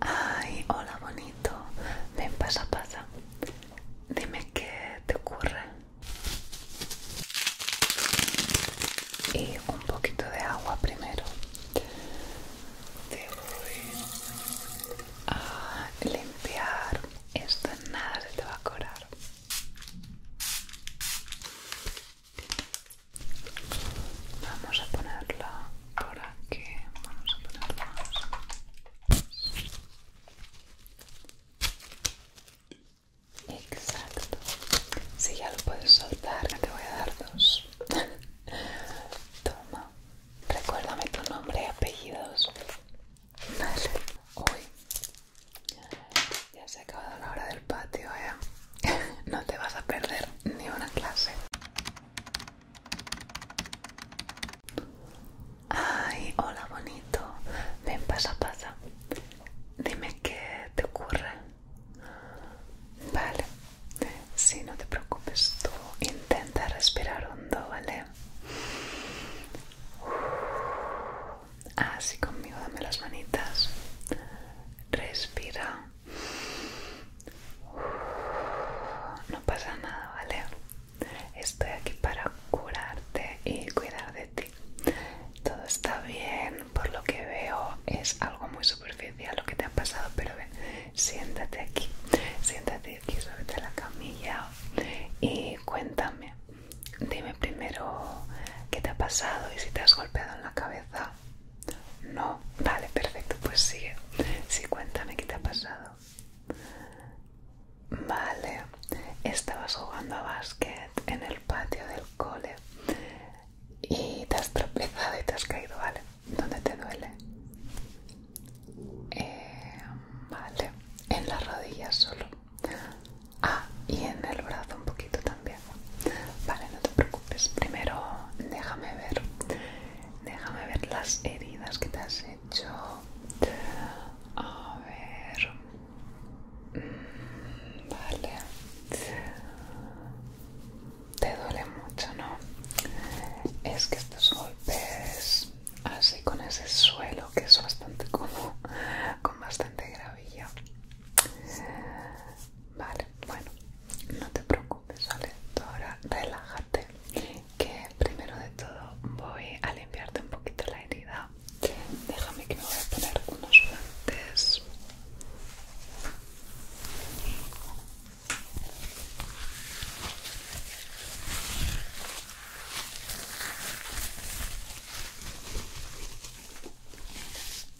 Ay, hola bonito. Ven, pasa, pasa. Dime qué te ocurre. Y un poquito de agua primero. Te voy a limpiar. Esto nada se te va a cobrar. Vamos a ponerla por aquí. Vamos a ponerla Exacto. Si ya lo puedes soltar, te voy a dar dos. Toma. Recuérdame tu nombre y apellidos. Vale. Uy. Ya se ha acabado la hora del patio, eh. no te vas a perder ni una clase. Ay, hola bonito. Ven, pasa, pasa. Dime qué te ocurre. Vale. Sí, no te preocupes tú. Intenta respirar hondo, ¿vale? Así conmigo, dame las manitas. Respira. No pasa nada, ¿vale? Estoy aquí para curarte y cuidar de ti. Todo está bien, por lo que veo es algo muy superficial lo que te ha pasado, pero ven, siéntate aquí, siéntate aquí, sobre la camilla y cuéntame. Dime primero qué te ha pasado y si te has golpeado en la cabeza. No, vale, perfecto, pues sigue. Sí, cuéntame qué te ha pasado. Vale, estabas jugando a básquet en el patio del cole y te has tropezado y te has caído, ¿vale? ¿Dónde te duele? Eh, vale, en las rodillas solo. Ah, y en el brazo un poquito también. Vale, no te preocupes. Primero, déjame ver. Déjame ver las heridas que te has hecho. A ver. Mm, vale. Te duele mucho, ¿no? Es que estos golpes así con ese suelo que es bastante como con bastante gravilla Vale, bueno, no te preocupes, ¿vale? ahora relájate, que primero de todo voy a limpiarte un poquito la herida. Déjame que me voy a poner unos guantes.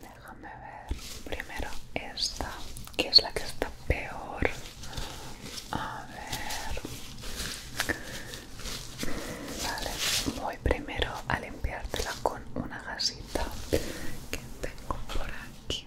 Déjame ver primero esta, que es la que está peor. A ver. Vale, voy primero a limpiártela con una gasita que tengo por aquí.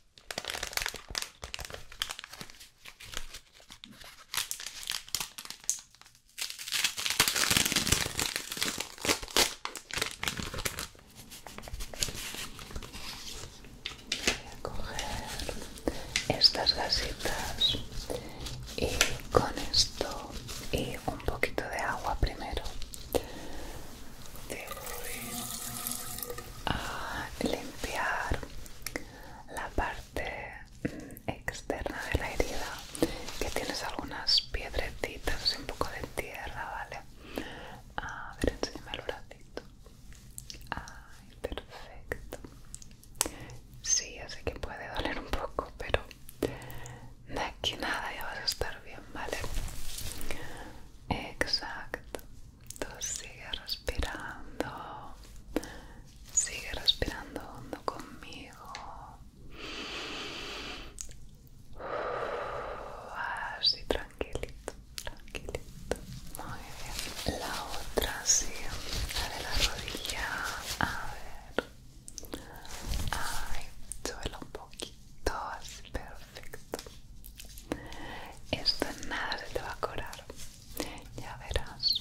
Voy a coger estas gasitas y con esto y un poquito de agua primero te voy a limpiar la parte externa de la herida que tienes algunas piedretitas y un poco de tierra, ¿vale? A ver, enséñame el ratito. Ay, perfecto. Sí, sé que puede doler un poco, pero de aquí nada ya vas a estar bien, ¿vale? Exacto. Tú sigue respirando. Sigue respirando hondo conmigo. Así tranquilito, tranquilito. Muy bien. La otra sí. La de la rodilla. A ver. Ay, súbelo un poquito así, perfecto. Esto nada se te va a curar, ya verás.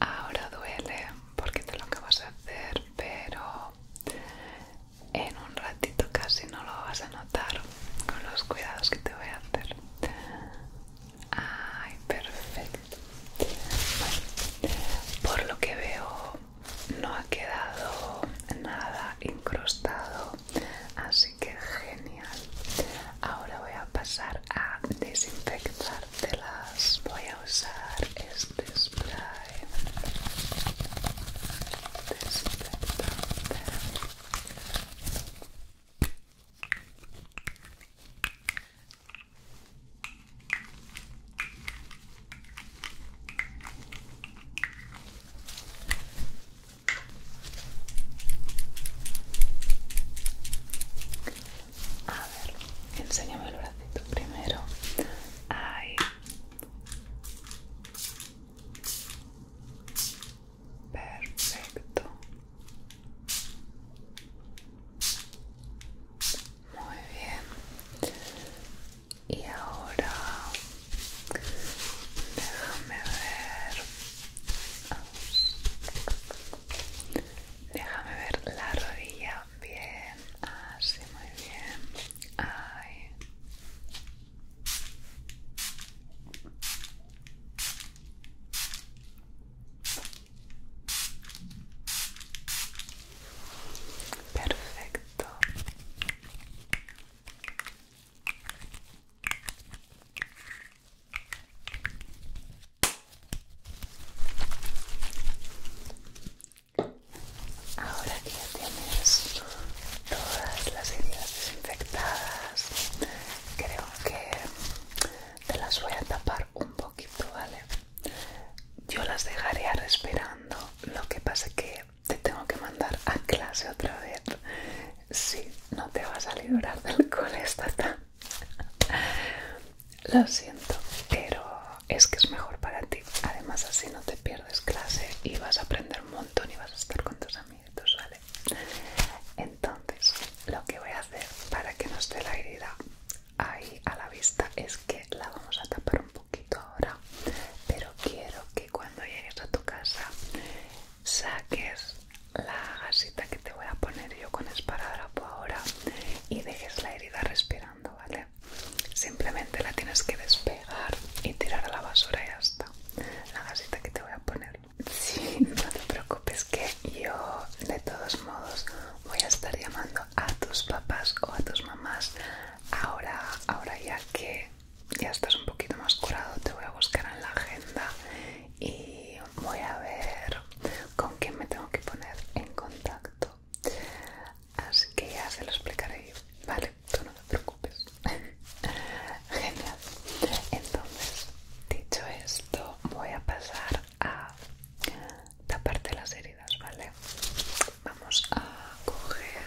Ahora duele porque te lo acabas a hacer, pero en un ratito casi no lo vas a notar con los cuidados que te voy a hacer. Ay, perfecto. por lo que veo no ha quedado nada incrustado así que genial ahora voy a pasar a telas. voy a usar este spray a ver, enséñame el bracito primero. Ay, Perfecto. Muy bien y ahora déjame ver déjame ver la rodilla bien así muy bien Ay. perfecto Ahora que ya tienes todas las heridas desinfectadas, creo que te las voy a tapar un poquito, ¿vale? Yo las dejaré respirando, lo que pasa que te tengo que mandar a clase otra vez. Sí, no te vas a librar del cole Lo siento, pero es que es mejor para ti. Además, así no te pierdes clase y vas a aprender un montón y vas a estar con tus amigos, ¿vale? Entonces, lo que voy a hacer para que no esté la herida ahí a la vista es que la vamos a tapar un poquito ahora pero quiero que cuando llegues a tu casa saques la gasita que te voy a poner yo con esparadrapo ahora y dejes la herida respirando vale simplemente la tienes que despegar y tirar a la basura y ya está la gasita que te voy a poner sí no te preocupes que yo de todos modos voy a estar llamando a tus papás o a tus mamás ahora ahora ya que ya estás un poquito más curado, te voy a buscar en la agenda y voy a ver con quién me tengo que poner en contacto. Así que ya se lo explicaré yo, ¿vale? Tú no te preocupes. Genial. Entonces, dicho esto, voy a pasar a taparte las heridas, ¿vale? Vamos a coger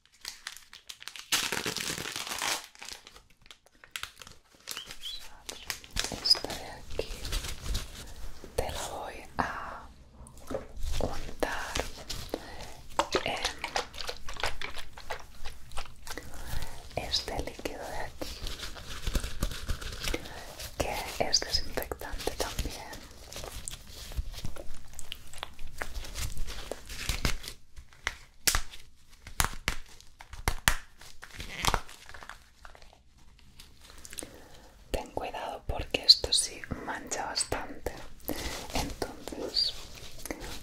Esta de aquí te la voy a untar en este líquido de aquí que es desinfectante también. Ten cuidado porque esto sí mancha bastante. Entonces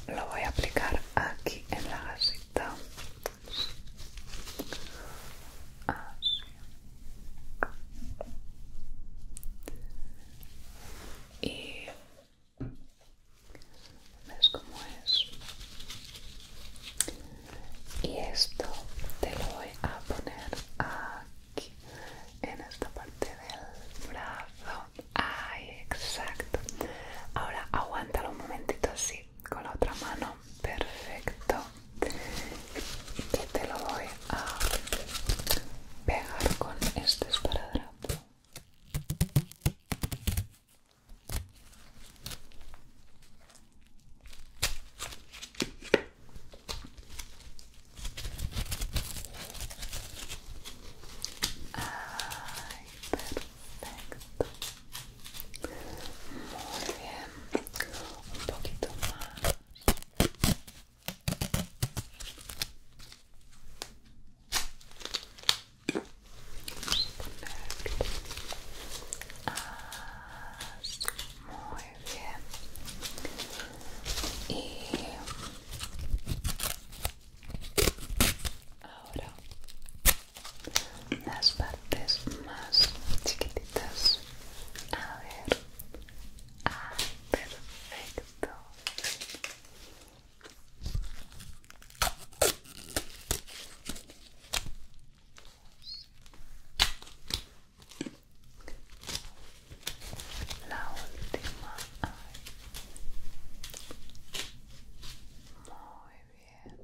lo voy a aplicar aquí en la gasita ves cómo es y esto te lo voy a poner aquí en esta parte del brazo ay exacto ahora aguántalo un momentito así con la otra mano perfecto y te lo voy a pegar con este esparadrapo Ay, perfecto. Muy bien. Un poquito más muy bien. Y ahora las partes más chiquititas. A ver. Ah, perfecto. La última. Muy bien.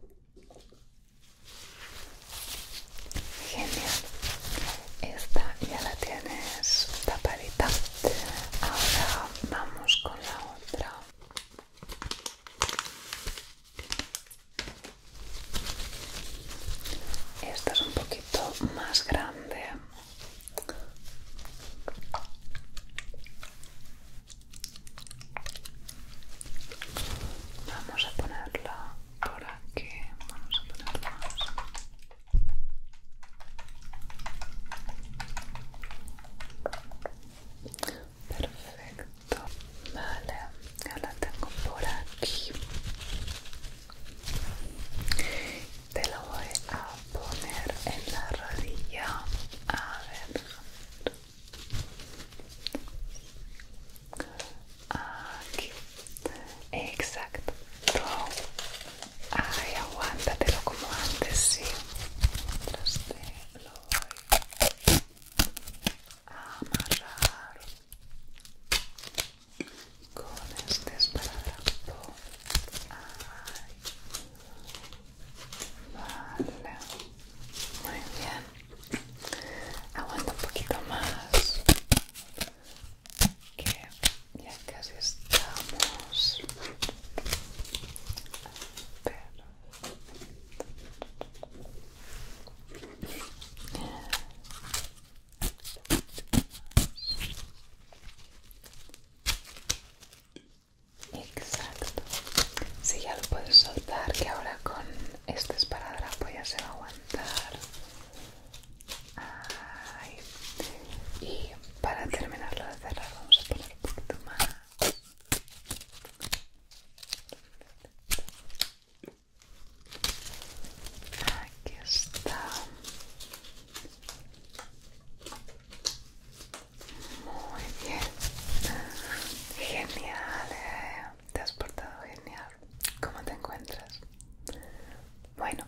Genial. Esta ya la tienes tapadita. Ahora vamos con la otra esta es un poquito más grande vamos a ponerla por aquí vamos a ponerla Perfecto. Vale, ya la tengo por aquí. Te lo voy a poner en la rodilla. A ver. Aquí. Exacto. Ay, aguántatelo como antes, sí. Mientras lo voy a amarrar con este esparadrapo. Ay. Vale. Muy bien. Aguanta un poquito más. Que ya casi estamos. Exacto. Si ya lo puedes soltar, que ahora con este la ya se va a aguantar. Y para terminarlo de cerrar vamos a poner Aquí está. Muy bien. Genial. Eh. Te has portado genial. ¿Cómo te encuentras? Bueno,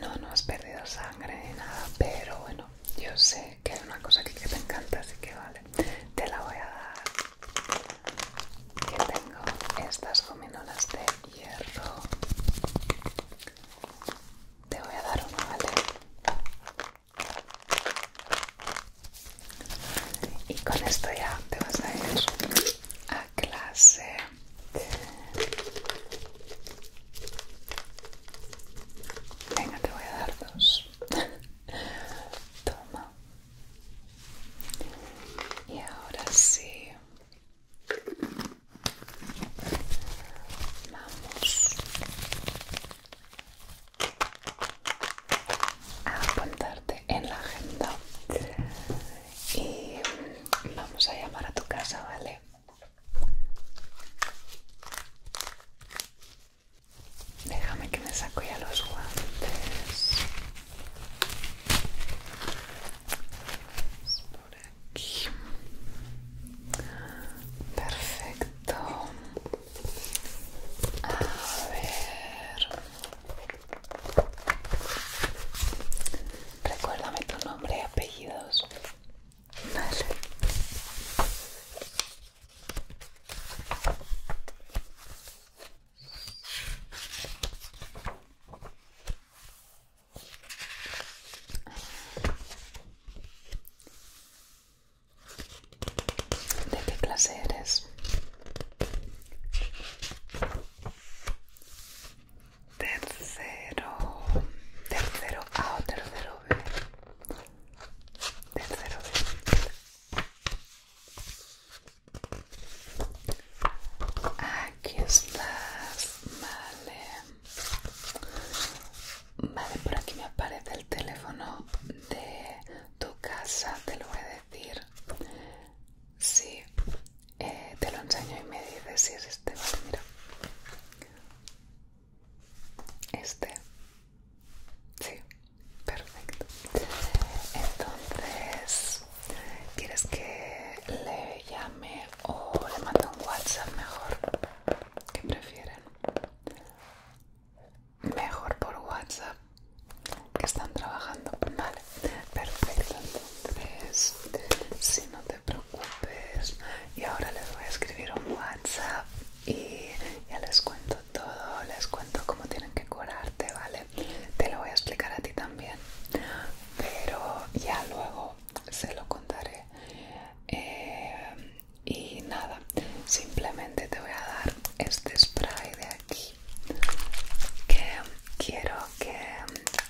no, no has perdido sangre ni nada, pero bueno, yo sé que, hay una cosa que te encanta, así que vale, te la voy a dar. Que tengo estas gominolas de hierro. Te voy a dar una, ¿vale? Y con esto ya te vas a ir a clase. Venga, te voy a dar dos. Toma. Y ahora sí. Vamos a apuntarte en la agenda y vamos a llamar a tu casa, ¿vale? Déjame que me saco ya los guantes. Perfecto. A ver. Recuérdame tu nombre y apellidos. ¿De qué clase Tercero, tercero A o tercero B tercero de aquí estás vale vale por aquí me aparece el teléfono de tu casa te lo voy a decir sí eh, te lo enseño y me dices si es este vale mira este. Sí, perfecto. Entonces, ¿quieres que le llame o le mando un WhatsApp mejor? ¿Qué prefieren? Mejor por WhatsApp que están trabajando. Vale, perfecto. Entonces, si no te preocupes, y ahora les voy a escribir un WhatsApp y ya les cuento todo, les cuento cómo tienen que curarte, ¿vale? Te lo voy a explicar a ti también, pero ya luego se lo contaré. Eh, y nada, simplemente te voy a dar este spray de aquí que quiero que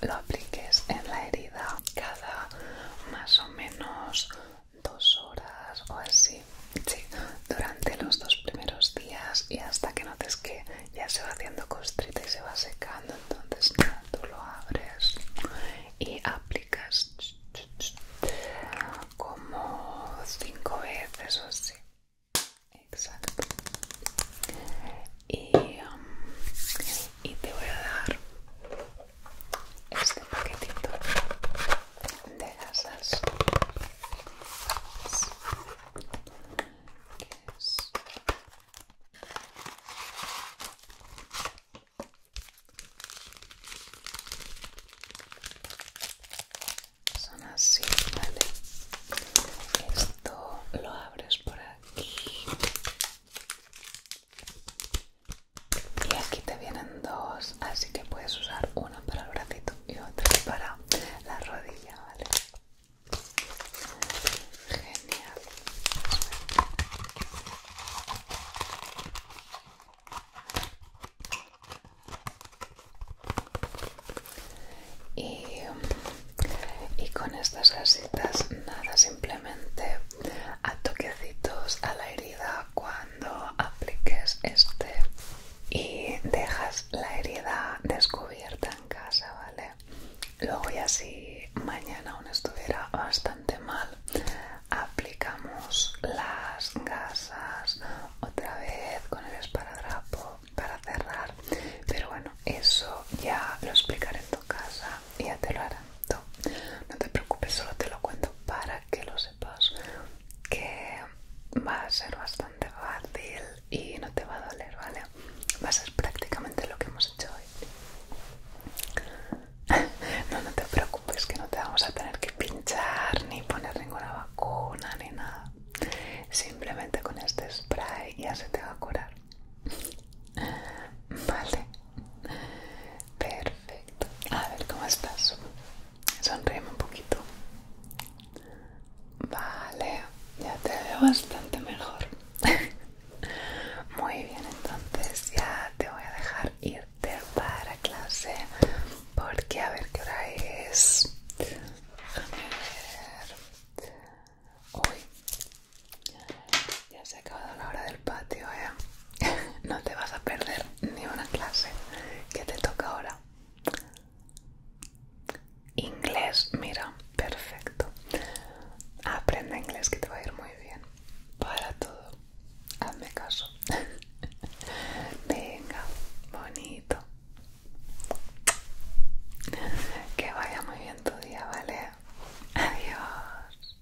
lo apliques en la herida cada más o menos dos horas o así durante los dos primeros días y hasta que notes que ya se va haciendo costrita y se va secando entonces tú lo abres y aplicas como cinco veces o así exacto y, um, y te voy a dar este paquetito de gasas son así, ¿vale? Esto lo abres por aquí y aquí te vienen dos, así que puedes usar uno para el brazito y otra para la rodilla, ¿vale? Genial. Y, con estas casitas, nada, simplemente a toquecitos a la herida cuando apliques este y dejas la herida descubierta en casa, ¿vale? Luego ya si mañana aún estuviera bastante mal, aplicamos las gasas otra vez con el esparadrapo para cerrar. Pero bueno, eso ya lo explicaré en tu casa y ya te lo harán no te preocupes solo te lo cuento para que lo sepas que va a ser bastante fácil y no te va a doler vale va a ser prácticamente lo que hemos hecho hoy no no te preocupes que no te vamos a tener que pinchar ni poner ninguna vacuna ni nada simplemente con este spray ya se te va a curar vale perfecto a ver, ¿cómo estás? Sonríeme un poquito. Vale, ya te veo bastante mejor. Muy bien, entonces ya te voy a dejar irte para clase porque a ver qué hora es. Déjame ver. Uy, ya se ha acabado la hora del patio, ¿eh? no te vas a perder ni una clase que te toca ahora. Inglés, mira, perfecto. Aprende inglés que te va a ir muy bien. Para todo. Hazme caso. Venga, bonito. Que vaya muy bien tu día, ¿vale? Adiós.